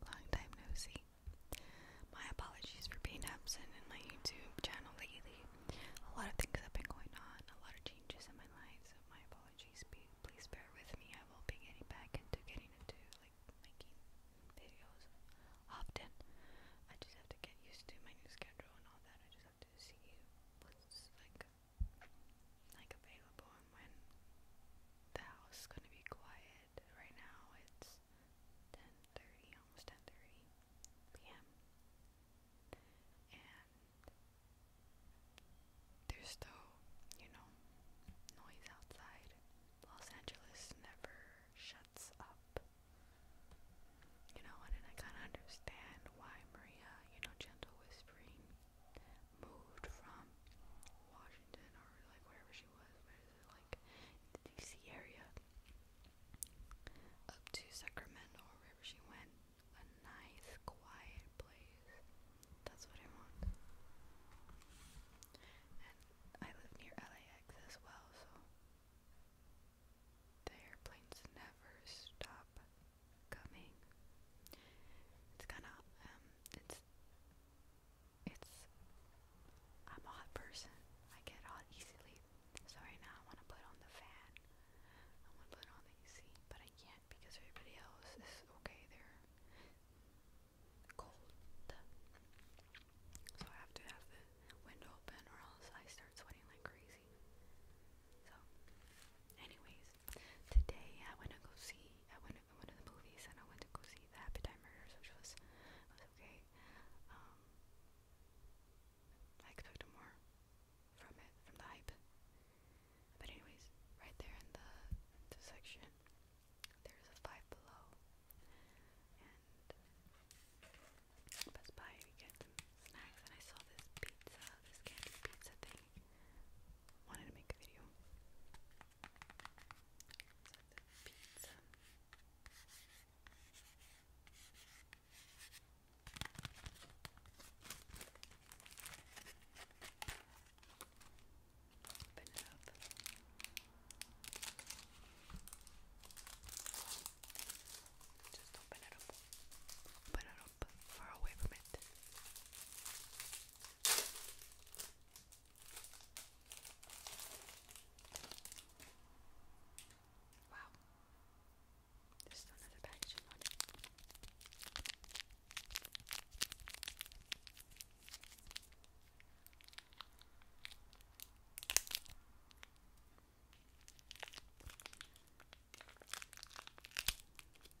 Long time no see. My apologies for being absent in my YouTube channel lately. A lot of things have been going on, a lot of changes in my life, so my apologies. please bear with me. I will be getting back into getting into like making videos often. I just have to get used to my new schedule and all that. I just have to see what's like like available and when the house is gonna be quiet. Right now it's 10:30, almost 10:30 p.m. and there's still, you know, noise outside. Los Angeles never shuts up. You know, and I kinda understand why Maria, you know, gentle whispering moved from Washington or like wherever she was, where is it like the DC area up to Sacramento or wherever she went. A nice quiet place. That's what I want. And I live near LAX as well, so the airplanes never stop coming. It's kind of um, it's it's. I'm a hot person. I get hot easily. So right now I want to put on the fan. I want to put on the AC, but I can't because everybody else is okay. They're cold. So I have to have the window open or else I start sweating like crazy. So anyways, today I went to go see I went to, I went to the movies and I went to go see The Happy Time Murders, which was was okay. Um, I expected more from it, from the hype. But anyways, right there in the, the section, there's a five below, and Best Buy we get some snacks, and I saw this pizza, this candy pizza thing wanted to make a video. Open it up. Just open it up. Open it up. Far away from it. Wow. Just another packaging on it.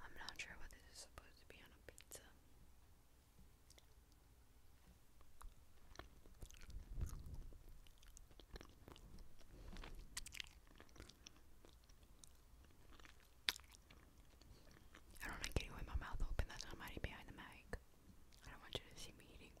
I'm not sure what this is supposed to be on a pizza. I don't like getting with my mouth open, that's not mighty behind the mic. I don't want you to see me eating.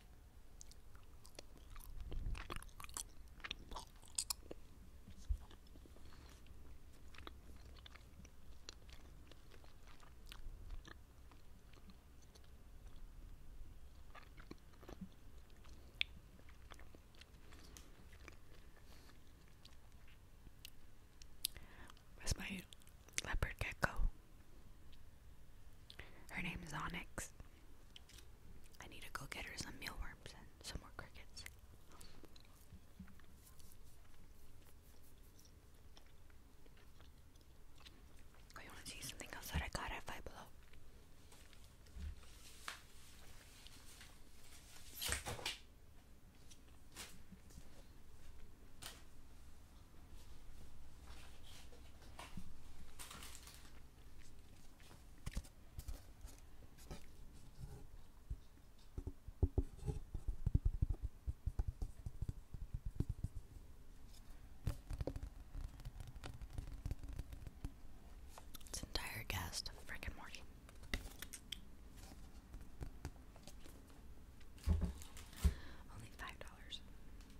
Where's my leopard gecko? Her name is Onyx. I need to go get her some mealworms and some more crickets. I want to see something else that I got at Five Below. It's entire cast of Rick Only five dollars.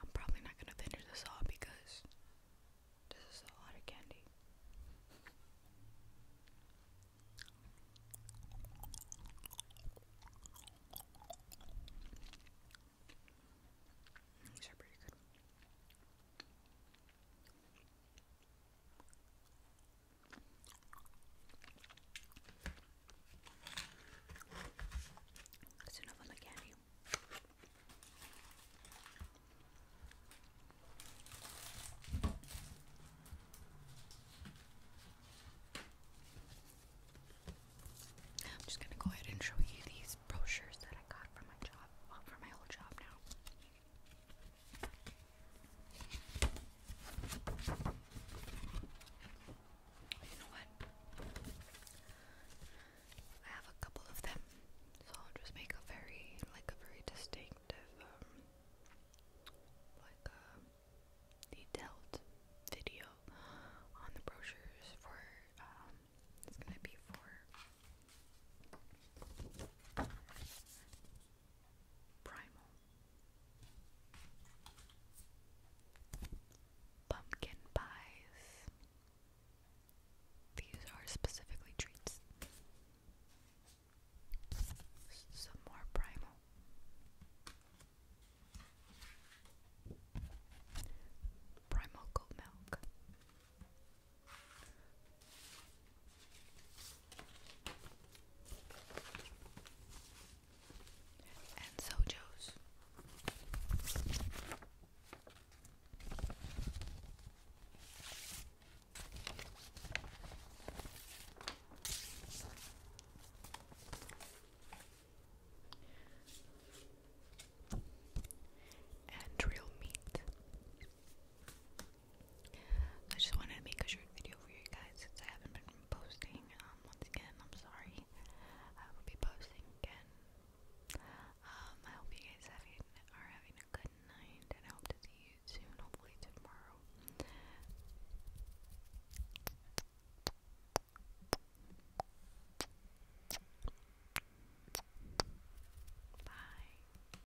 I'm probably not gonna finish this all because this is a lot of candy. These are pretty good. It's I'm just gonna go ahead and show you these brochures that I got from my job, well, my old job now. You I have a couple of them, so I'll just make a very, like a very distinctive, um, like uh, detailed video on the brochures for, um, it's gonna be for Primal. Pumpkin pies. These are specifically treats. Some more primal. Primal goat milk and Sojo's. And real meat. I just wanted to make a short video for you guys since I haven't been posting. Um, once again, I'm sorry. I will be posting again. Um, I hope you guys are having a good night, and I hope to see you soon, hopefully tomorrow. Bye.